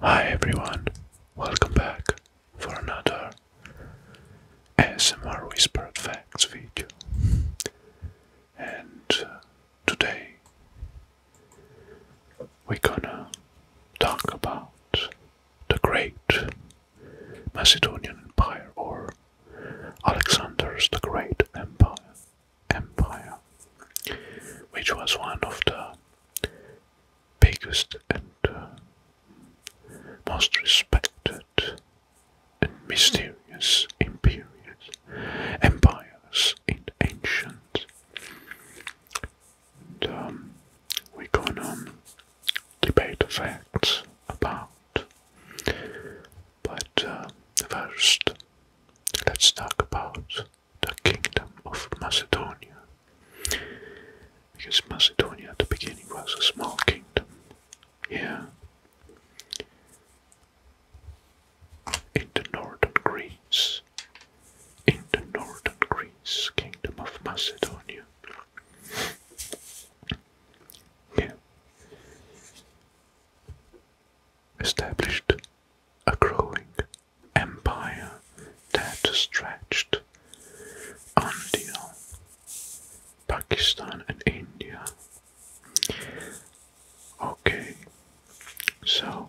Hi everyone, welcome back for another ASMR Whispered Facts video. And uh, today we're gonna talk about the Great Macedonian Empire or Alexander's the Great Empire, Empire, which was one of the biggest and uh, most respected and mysterious imperials, empires in ancient we're going to debate the facts about. But uh, first, let's talk about the Kingdom of Macedonia. Because Macedonia at the beginning was a small kingdom. Yeah. In the northern Greece in the northern Greece, Kingdom of Macedonia. Yeah. Established a growing empire that stretched until Pakistan and India. Okay, so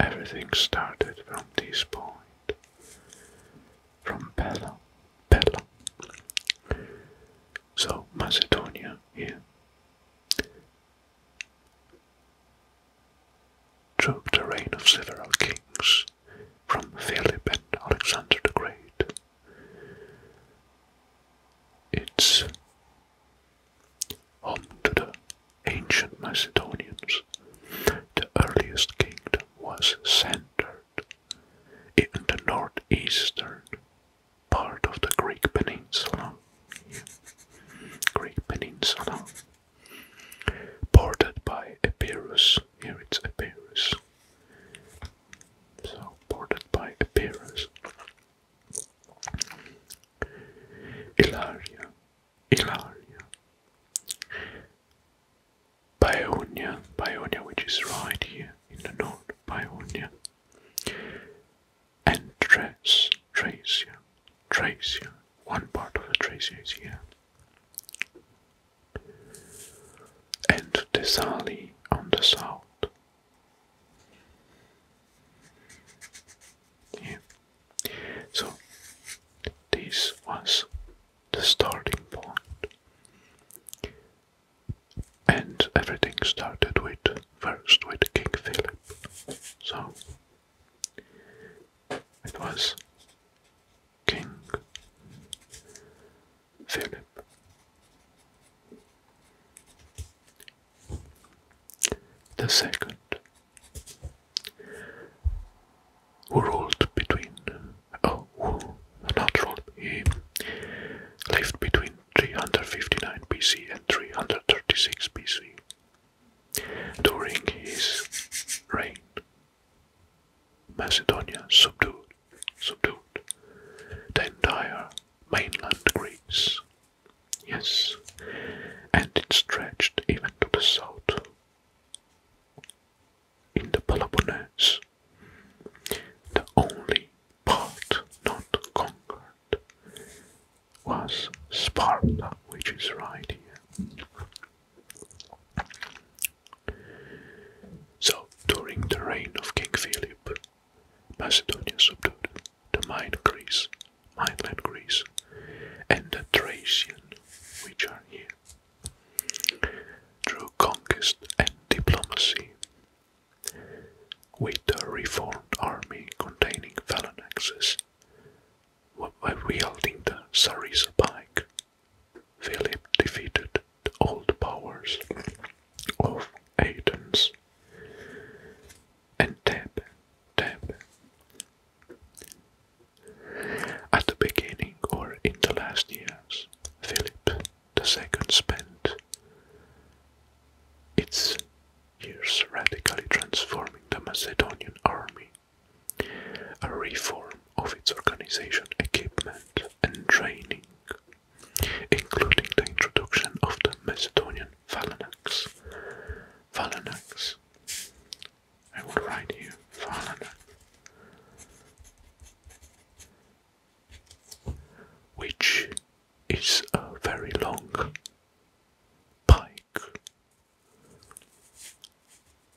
Everything started from this point, from Pella. Pella. So Macedonia here took the reign of several kings from Philip and Alexander the Great. It's home to the ancient Macedonians, the earliest kingdom was centered in the northeastern part of the Greek peninsula. Greek peninsula, bordered by Epirus. Here it's Epirus. So bordered by Epirus. Ilaria Ilaria. Paeonia, Paeonia, which is right here in the north, Paeonia. And Thrace, Thracia, Thracia. One part of the Thracia is here. And Thessaly on the south. Yeah. So this was the starting And everything started with first with King Philip. So it was King Philip. The second who ruled between oh not ruled he lived between 359 BC and 336 BC during his reign Macedonia subdued subdued the entire mainland Greece yes and it stretched even to the south in the Peloponnese, the only part not conquered was Sparta, which is right here. So, during the reign of King Philip, Macedonia subdued the Minor Greece mainland Greece, and the Thracian, which are here, through conquest and diplomacy, with a reformed army containing phalanxes, wielding the Sarissa pike. Philip defeated the old powers of Athens and Thebe, Thebe at the beginning or in the last years, Philip II spent its years radically transforming the Macedonian army. A reform of its organization, equipment, and training, including the introduction of the Macedonian phalanx. Phalanx I will write you Fallen. Which is a very long pike,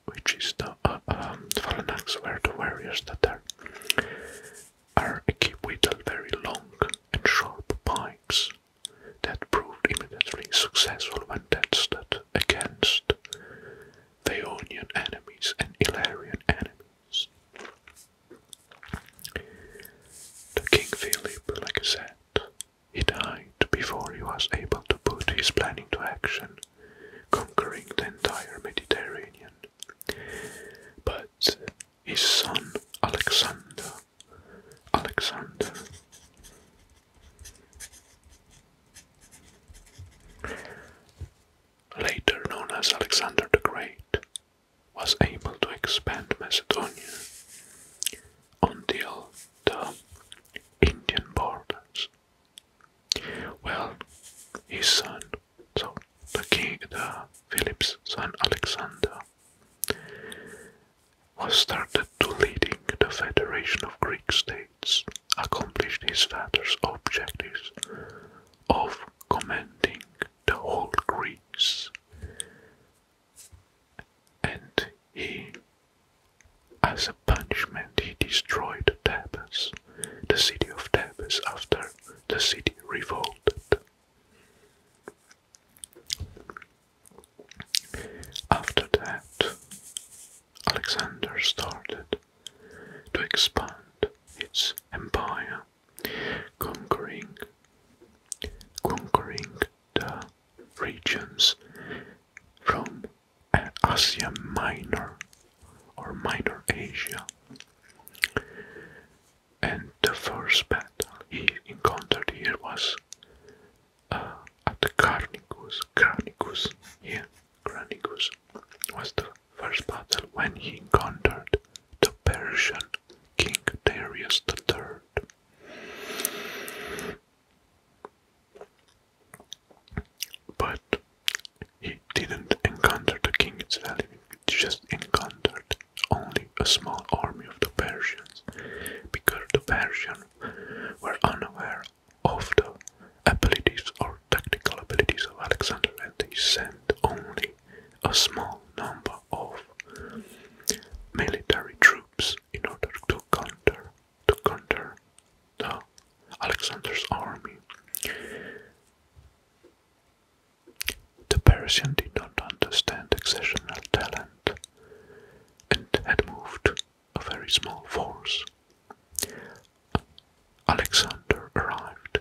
which is the uh, um, where the warriors that are, are equipped with a very long and sharp pikes that proved immediately successful when tested against Theonian enemies and Illyrian enemies. The King Philip, like I said, he died before he was able to put his plan into action, conquering the entire Mediterranean. But his son Alexander, Alexander later known as Alexander the Great, was able to expand Macedonia until the Indian borders. Well, his son, so the king, the Philip's son Alexander, was started to leading the Federation of Greek States, accomplished his father's objectives of commanding the whole Greece, and he, as a punishment, he destroyed Thebes, the city of Thebes, after the city revolted. After that, Alexander started to expand its empire, conquering, conquering the regions from Asia Minor or Minor Asia. And the first battle he encountered here was at Carnicus. Carnicus, yeah, Carnicus was the first battle when he encountered the Persian king Darius III. But he didn't encounter the king itself, he just encountered only a small army of the Persians because the Persian were unaware of the abilities or tactical abilities of Alexander and they sent only a small number of military troops in order to counter to counter the Alexander's army. The Persian did not understand exceptional talent and had moved a very small force. Alexander arrived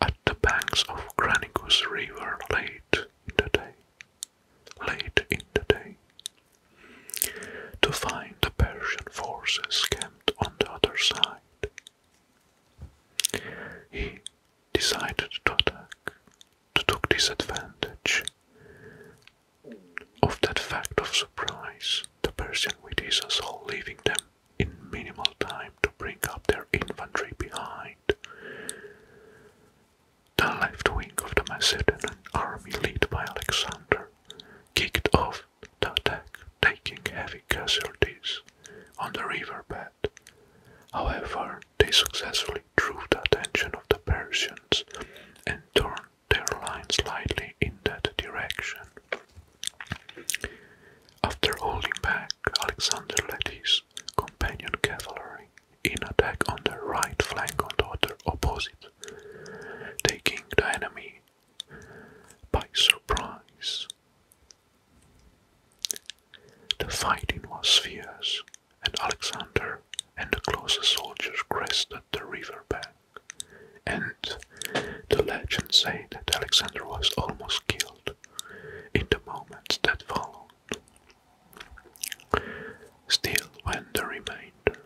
at the banks of Granicus River late in the day. Late in the day, to find the Persian forces camped on the other side, he decided to attack to take disadvantage of that fact of surprise, the Persian witties saw leaving them in minimal time to bring up their infantry behind. The left wing of the Macedonian army, led by Alexander, kicked off the attack, taking heavy casualties on the riverbed. However, they successfully drew the attention of the Persians and turned their line slightly in that direction. After holding back Alexander led his companion cavalry in attack on the right flank of the other opposite, taking the enemy by surprise. The fighting was fierce, and Alexander and the closest soldiers crested the river bank. And the legends say that Alexander was almost killed in the moments that followed. Still, when the remainder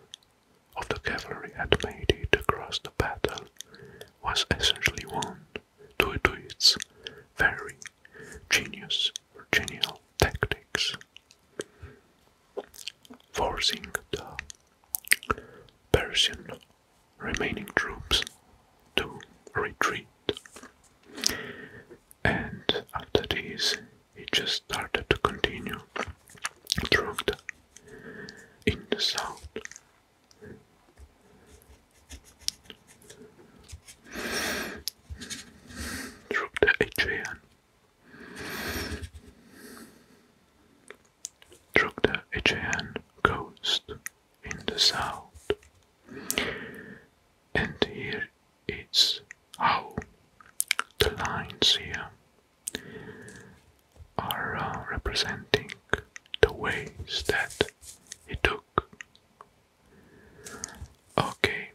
of the cavalry had made it across the battle was essentially won due to its very genius or genial tactics forcing the Persian remaining troops to retreat. And after this, it just started to continue through the in the south. Through the Aegean Struck the Aegean coast in the south, and here is how the lines here are uh, representing the ways that he took. Okay,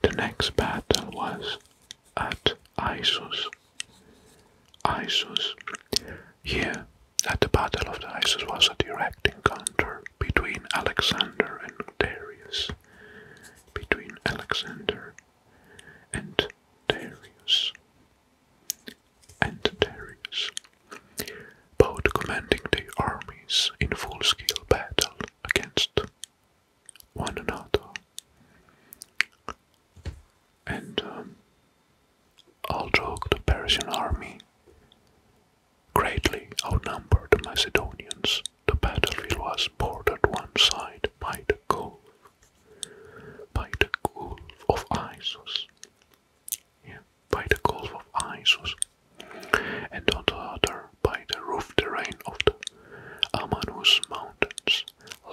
the next battle was at Issus. Issus. Here, at the Battle of the Issus, was a direct encounter between Alexander and Darius. Between Alexander and Darius and both commanding their armies in full-scale battle against one another. And um, although the Persian army greatly outnumbered the Macedonians, the battlefield was bordered one side by the Gulf, by the Gulf of Issus, by the Gulf of Isos, and on the other by the roof terrain of the Amanus Mountains,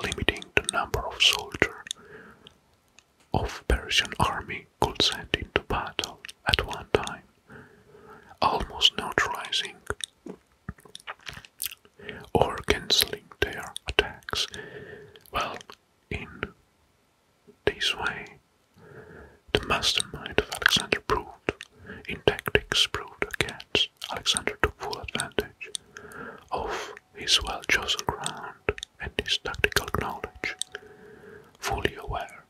limiting the number of soldiers of Persian army could send into battle at one time, almost neutralizing or cancelling their attacks. Well, in this way, the mastermind of Alexander proved, in tactics proved against, Alexander took full advantage of his well chosen ground and his tactical knowledge, fully aware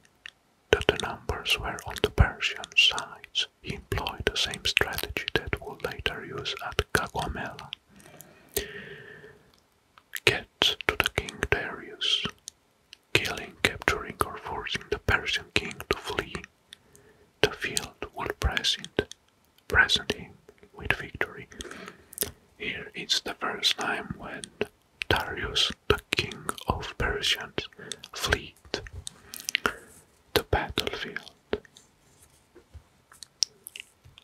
that the numbers were on the Persian sides. He employed the same strategy that would later use at Gagomela get to the king Darius, killing, capturing, or forcing the Persian king to flee, the field will present, present him with victory. Here it's the first time when Darius, the king of Persians, fled the battlefield.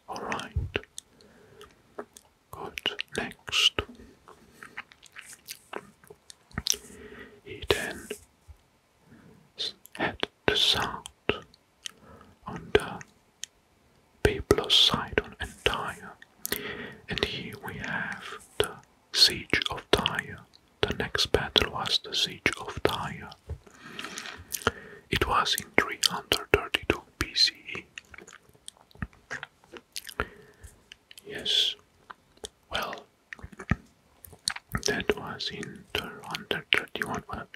Alright. Good, next. He then had the sound on the people's Tyre, and here we have the siege of Tyre. The next battle was the siege of Tyre. It was in 332 BCE Yes, well, that was in the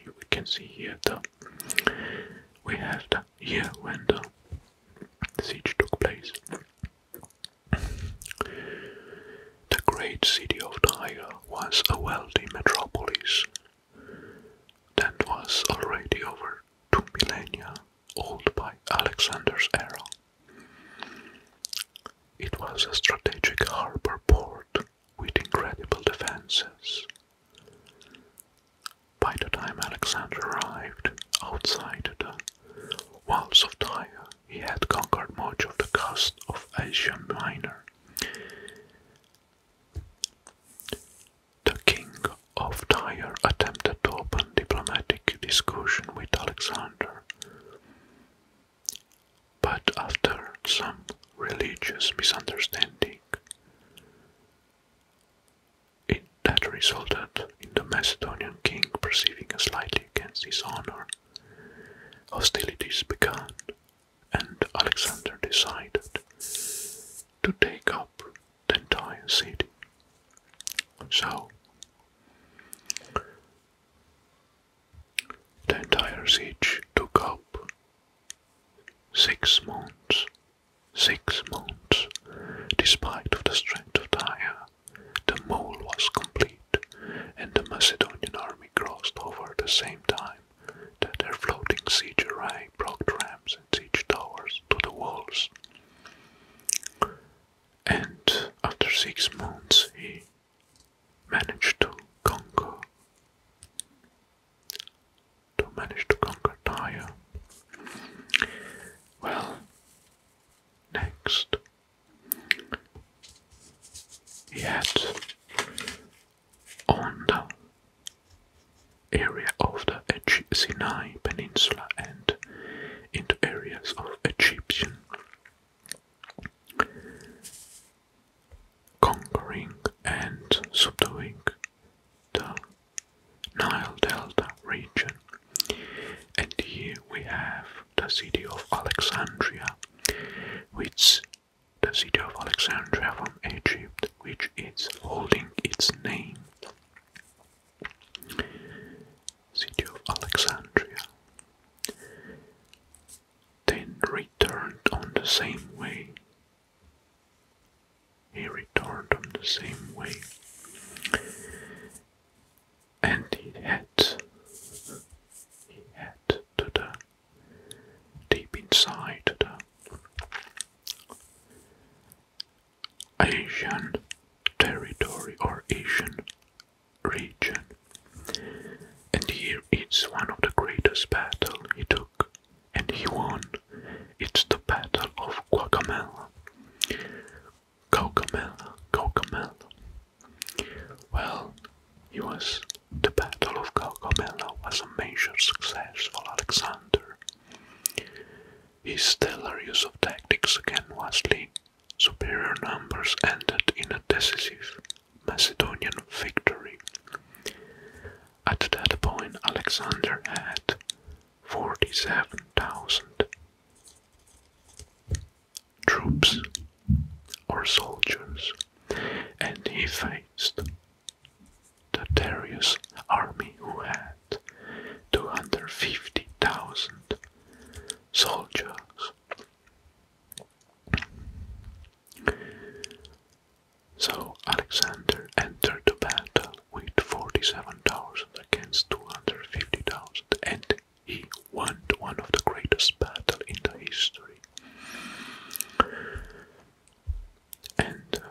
we can see here the we have the year when the siege took place. The great city of Tyre was a wealthy metropolis that was already over two millennia old by Alexander's era. It was a strategic harbor port with incredible defenses. By the time Alexander arrived outside the walls of Tyre, he had conquered much of the coast of Asia Minor. The king of Tyre attempted to open diplomatic discussion with Alexander, but after some religious misunderstanding, it, that resulted in the Macedonian king perceiving a slightly against his honor. Hostilities began, and Alexander decided to take up the entire city. So, the entire siege took up six months. Six months. Despite of the strength of Tyre, the mole was complete, and the Macedonian army crossed over at the same time that their floating siege arrived broke trams and siege towers to the walls. And after six months, he managed to conquer to manage to conquer Tyre. Well, next he had on area of the Sinai Peninsula and into areas of Egyptian conquering and subduing the Nile Delta region. And here we have the city of Alexandria, which the city of Alexandria from Egypt, which is holding its name city of Alexandria, then returned on the same way. He returned on the same way, and he had he had to the deep inside the Asian territory or Asian region. And here it's one of the greatest battle he took and he won. It's the Battle of Guacamela. Caucamela, Caucamela. Well, it was the Battle of Caucamela was a major success for Alexander. His stellar use of tactics again vastly superior numbers ended in a decisive Macedonian victory. At that point, Alexander had 47,000 troops or soldiers, and he faced the Darius army, who had 250,000 soldiers, so Alexander entered the battle with 47,000 against 250,000, and he won one of the greatest battles in the history. And uh,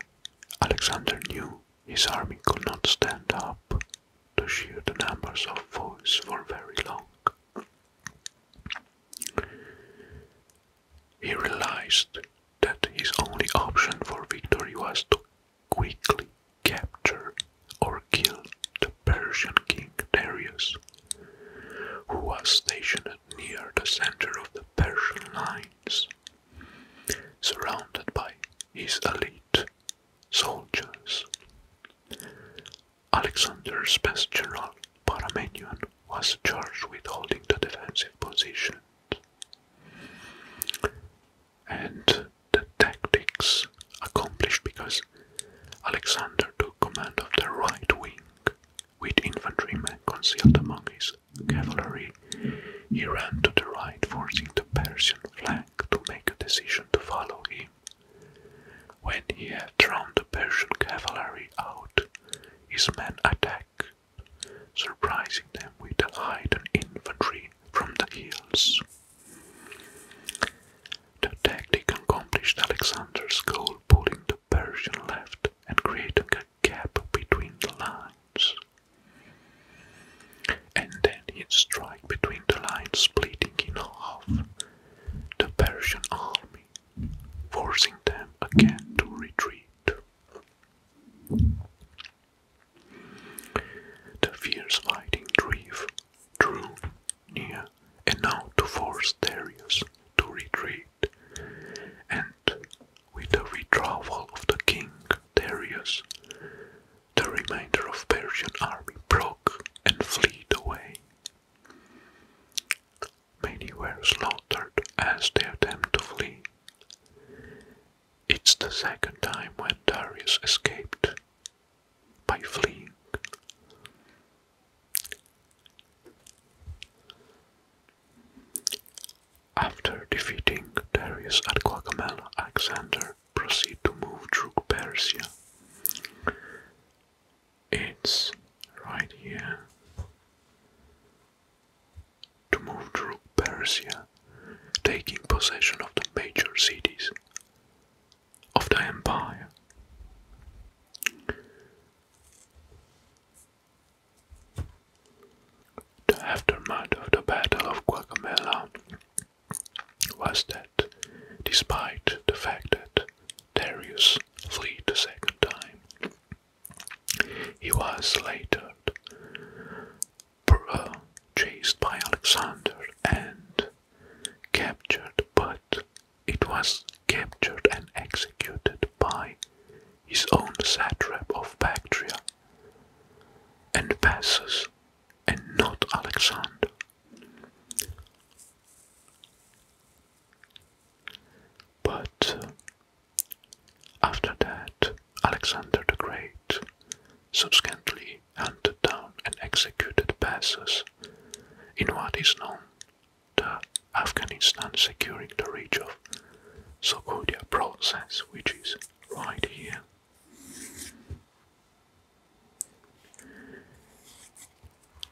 Alexander knew his army could not stand up to sheer the numbers of foes for very long. He realized that his only option for victory was to quickly capture or kill the Persian king Darius, who was stationed near the center of the Persian lines surrounded by his elite soldiers. Alexander's best general, Paramenion, was charged with holding the defensive position, And the tactics accomplished because Alexander took command of the right wing, with infantrymen concealed among his cavalry, he ran to the right, forcing the Persian flank to make a decision to follow him. When he had drawn the Persian cavalry out, his men attacked, surprising them with the light infantry from the hills. The tactic accomplished Alexander's goal, pulling the Persian left and creating a gap between the lines. And then he'd between the lines, splitting in half the Persian army, forcing them again to retreat. The fierce fighting drew near, and now to force Darius to retreat, and with the withdrawal of the king Darius, the remainder of Persian army broke and fled away. Many were slaughtered as they attempted to flee. It's the second time when Darius escaped by fleeing. After defeating Darius at Guatemala, Alexander proceeded to move through Persia. It's right here. To move through Persia, taking possession of the major cities of the empire. The aftermath of the Battle of Guacamela was that, despite the fact that Darius fled the second time, he was later chased by Alexander and captured, but it was captured and executed by his own satrap of Bactria, and Bassus, and not Alexander. But uh, after that, Alexander the Great subsequently hunted down and executed Bassus in what is known the Afghanistan securing the reach of so Sokodia process, which is right here.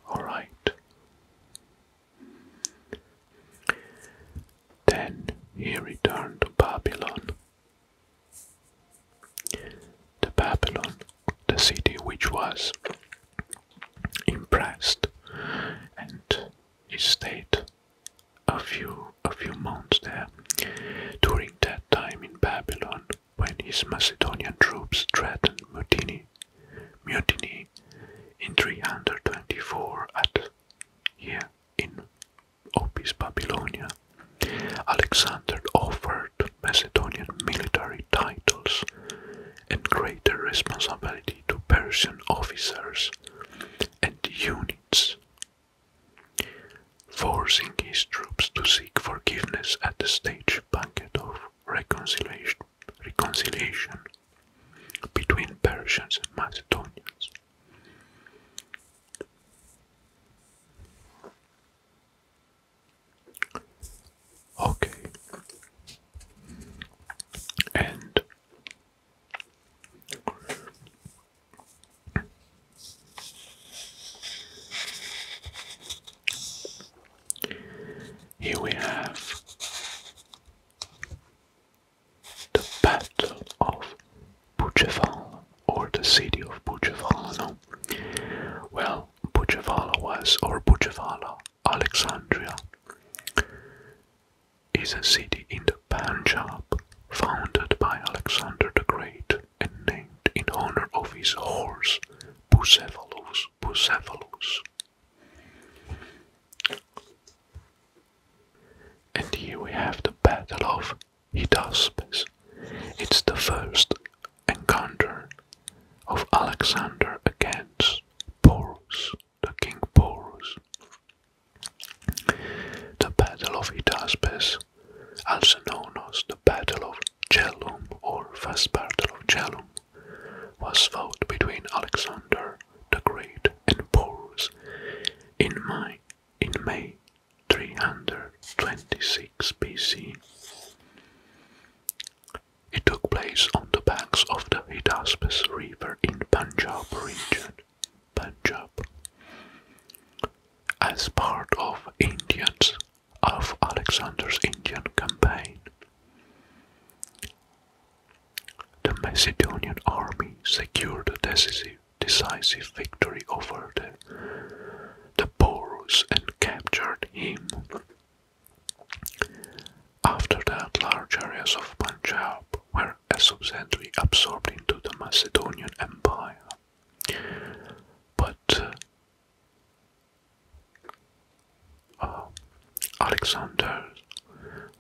All right. Then he returned to Babylon. The Babylon, the city which was impressed, and he stayed a few a few months there. During that time in Babylon, when his Macedonian troops threatened mutiny, mutiny in 324 at here in Opis Babylonia, Alexander offered Macedonian military titles and greater responsibility to Persian officers and units forcing his troops to seek forgiveness at the stage banquet of reconciliation, reconciliation between Persians and Macedonians. Okay, and here we have the Battle of Buceval, or the city of Bucevalano. Well, Bucevala was, or Bucevala, Alexandria, is a city in the Punjab founded by Alexander the Great and named in honor of his horse Bucephalus Bucephalus. And here we have the Battle of Hydaspes. It's the first encounter of Alexander against Porus the King Porus. The Battle of Hydaspes, also known as the Battle of Jhelum or First Battle of Jhelum, was fought between Alexander the Great and Porus in May, 326 BC. It took place on the banks of the Hydaspes River in Punjab region, Punjab. As part of Indians of Alexander's Indian campaign, the Macedonian army secured a decisive, decisive victory over the, the Porus and captured him. After that, large areas of Punjab were a are subsequently absorbed into the Macedonian Empire. But uh, uh, Alexander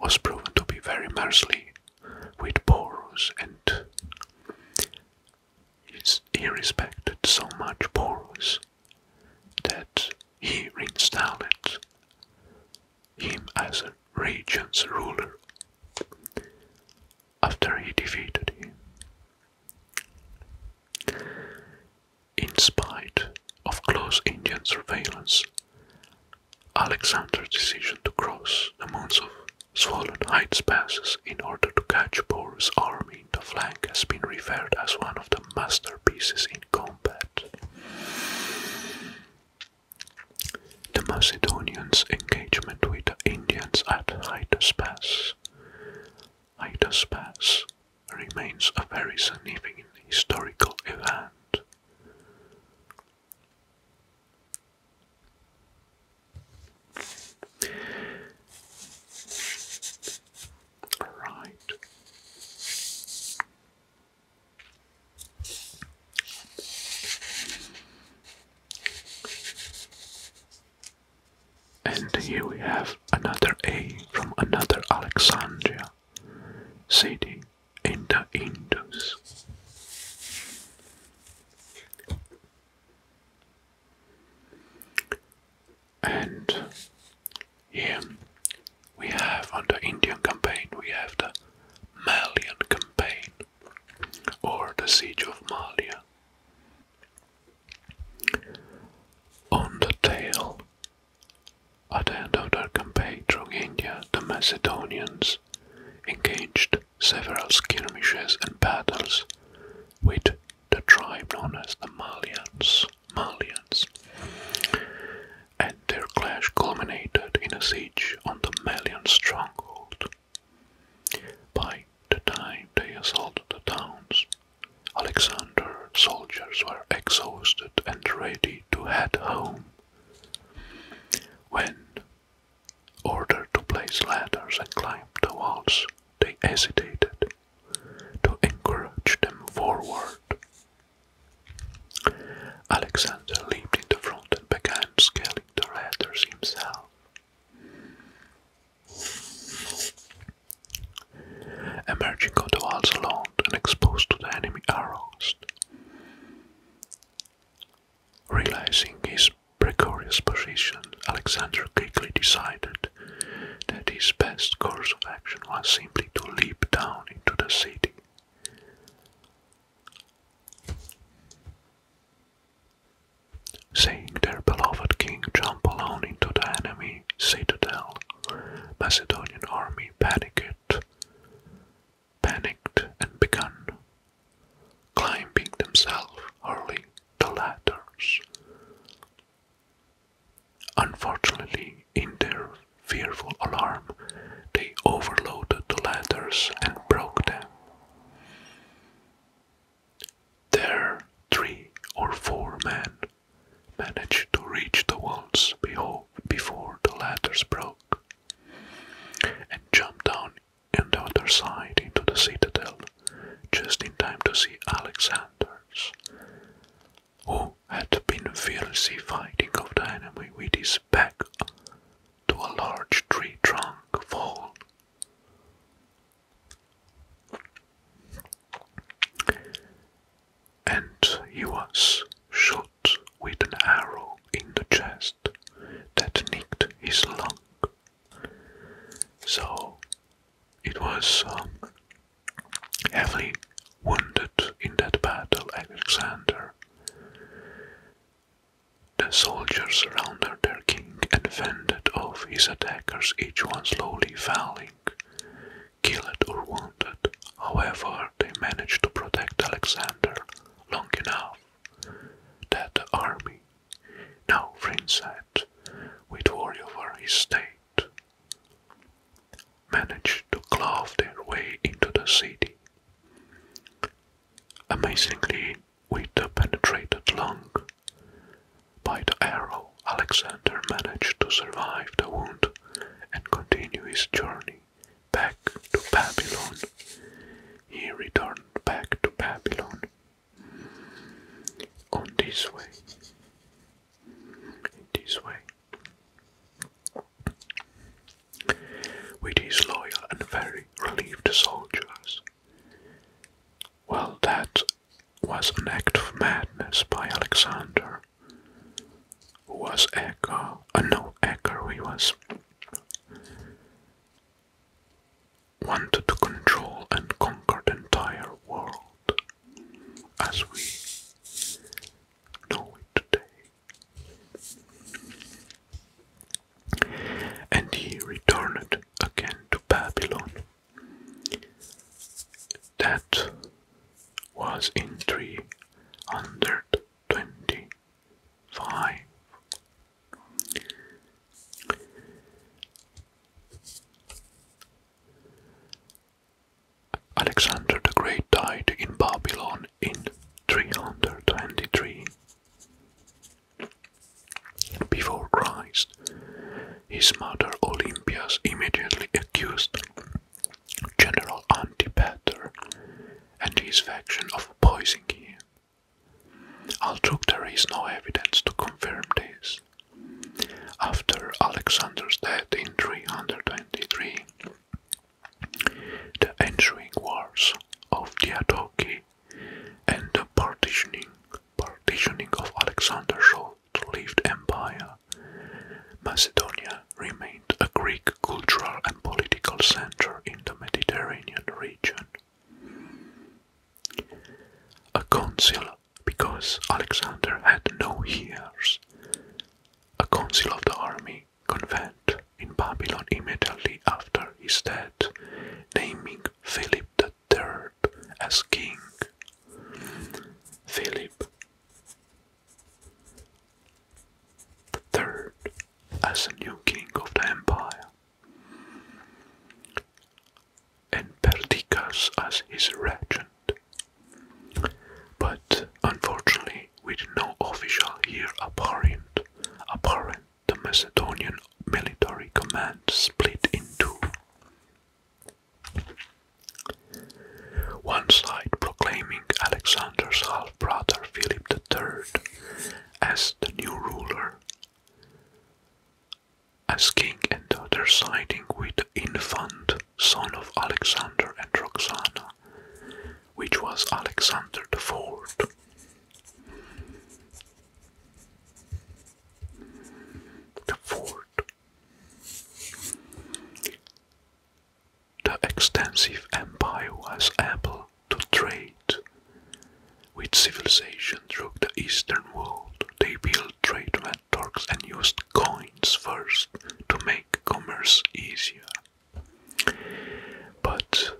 was proven to be very merciless with Porus, and he respected so much Porus that he reinstalled him as a region's ruler after he defeated him. In spite of close Indian surveillance, Alexander's decision to cross the moons of Swollen Heights passes in order to catch Boru's army in the flank has been referred as one of the masterpieces in combat. The Macedonians' engagement with the Indians at Hydas Pass. remains a very significant historical event. Right. And here we have another A from another Alexandria city in the Indus. And here we have on the Indian campaign, we have the Malian campaign or the siege of Malia. On the tail, at the end of their campaign through India, the Macedonians engaged several skirmishes and battles with the tribe known as the Malians. Malians and their clash culminated in a siege on the Malian stronghold. By the time they assaulted the towns, Alexander's soldiers were exhausted and ready to head home. When ordered to place ladders and climb the walls, they hesitated to encourage them forward Alexander leaped into front and began scaling the ladders himself. Emerging on walls alone and exposed to the enemy arrows. Realizing his precarious position, Alexander quickly decided that his best course of action was simply to leap down into the city. Seeing their beloved king jump alone into the enemy citadel, Macedonian army panicked, panicked and began climbing themselves, hurling the ladders. Unfortunately, in their fearful alarm, they overloaded the ladders and broke them. There, three or four men managed to reach the walls before the ladders broke and jumped down on the other side into the citadel just in time to see Alexander's, who had been fiercely fighting off the enemy with his back to a large tree trunk fall. And he was shot with an arrow in the chest that nicked his lung. So it was um, heavily Wounded in that battle, Alexander. The soldiers surrounded their king and fended off his attackers, each one slowly falling, killed or wounded. However, they managed to protect Alexander long enough that the army, now Frinsat, would worry over his state managed to claw their way into the city. Amazingly, with Vita penetrated lung. By the arrow, Alexander managed to survive the wound and continue his journey back to Babylon. He returned back to Babylon. On this way, this way, with his loyal and very relieved soldiers. Well, that was an act of madness by Alexander, who was Echo, uh, no, Echo, he was wanted to control and conquer the entire world as we know it today. And he returned again to Babylon. That was in 325. Alexander the Great died in Babylon in 323 before Christ. His mother Olympias immediately accused General Antipater and his faction of poisoning him. Although there is no evidence to confirm this, after Alexander's death in 323, the ensuing wars of the Diadochi and the partitioning, partitioning of Alexander's short-lived empire, Macedonia remained a Greek cultural and political center in the Mediterranean region. A council, because Alexander had no heirs, a council of the army convent in Babylon immediately after his death, naming Philip the Third as king. Philip the Third as a new king of the empire, and Perdiccas as his regent. By unfortunately, with no official here apparent, apparent, the Macedonian military command split in two. One side proclaiming Alexander's half brother Philip III as the new ruler, as king, and the other siding with the infant son of Alexander and Roxana, which was Alexander the Fourth. The Fourth. The extensive empire was able to trade with civilization through the eastern world. They built trade networks and used coins first to make commerce easier. But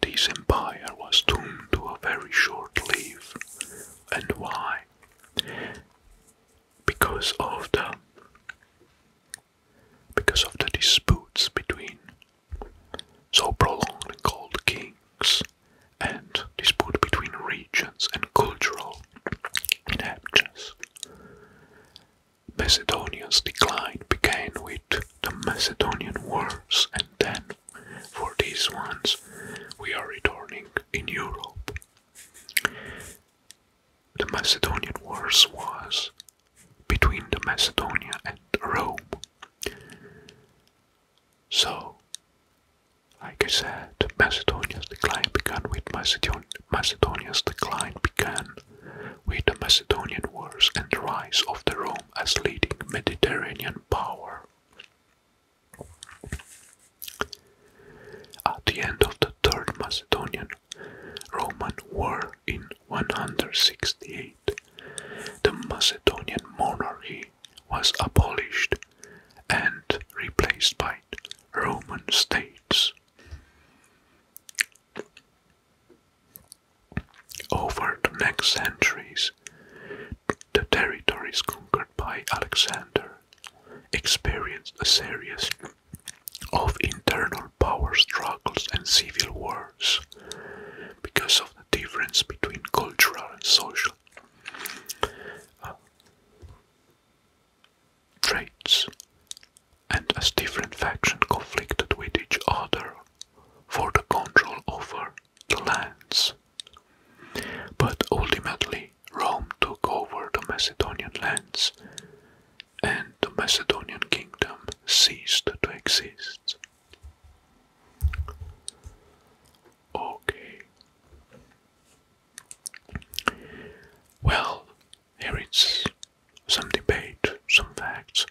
this empire was doomed to a very short life. And why? Because of the because of the disputes between so prolonged and cold kings and dispute between regions and cultural inhabitants. Macedonia's decline began with the Macedonian Wars, and then for these ones we are returning in Europe. The Macedonian Wars was between the Macedonia and Rome. So, like I said, Macedonia's decline began with Macedonia. Macedonia's decline began with the Macedonian Wars and the rise of the Rome as leading Mediterranean power. At the end of the Third Macedonian Roman War in 168, the Macedonian monarchy was abolished and replaced by Roman states. Over the next centuries, the territories conquered by Alexander experienced a series of internal power struggles and civil wars because of the difference between cultural and social traits, and as different factions conflicted with each other for the control over the lands. But ultimately, Rome took over the Macedonian lands, and the Macedonian kingdom ceased to exist. Okay. Well, here it's some debate, some facts.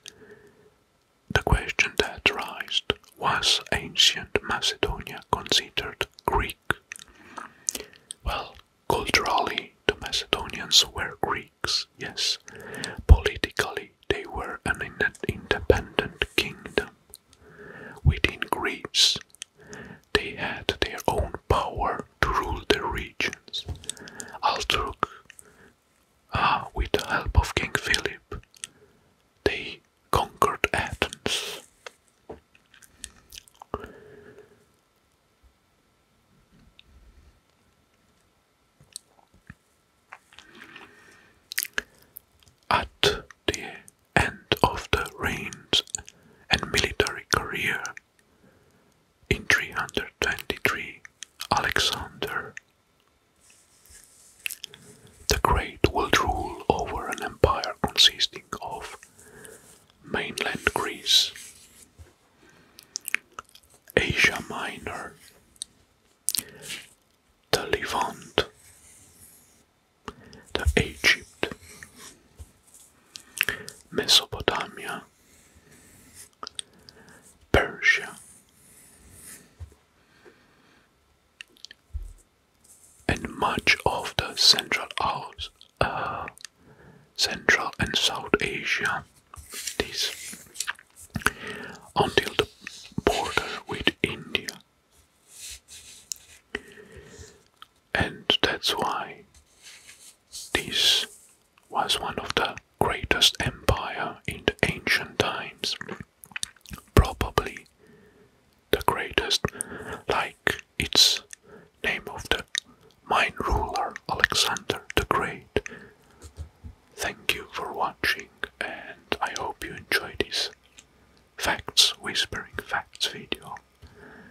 The question that arose was ancient Macedonia considered Greek? Well, culturally, the Macedonians were Greeks, yes. Politically, they were an independent kingdom. Within Greece, they had their own power to rule the regions. Altruk, ah, with the help of King Philip, they conquered Athens. At the end of the reigns and military career, in 323 Alexander the Great will rule over an empire consisting of mainland Greece, Asia Minor, the Levant, the Egypt, Mesopotamia, Persia, and much of the uh, Central and South Asia. This until the border with India, and that's why this was one of the greatest empire in the ancient times. Probably the greatest, like its name of the mine ruler Alexander the Great. Thank you for watching, and I hope you enjoy this facts whispering facts video.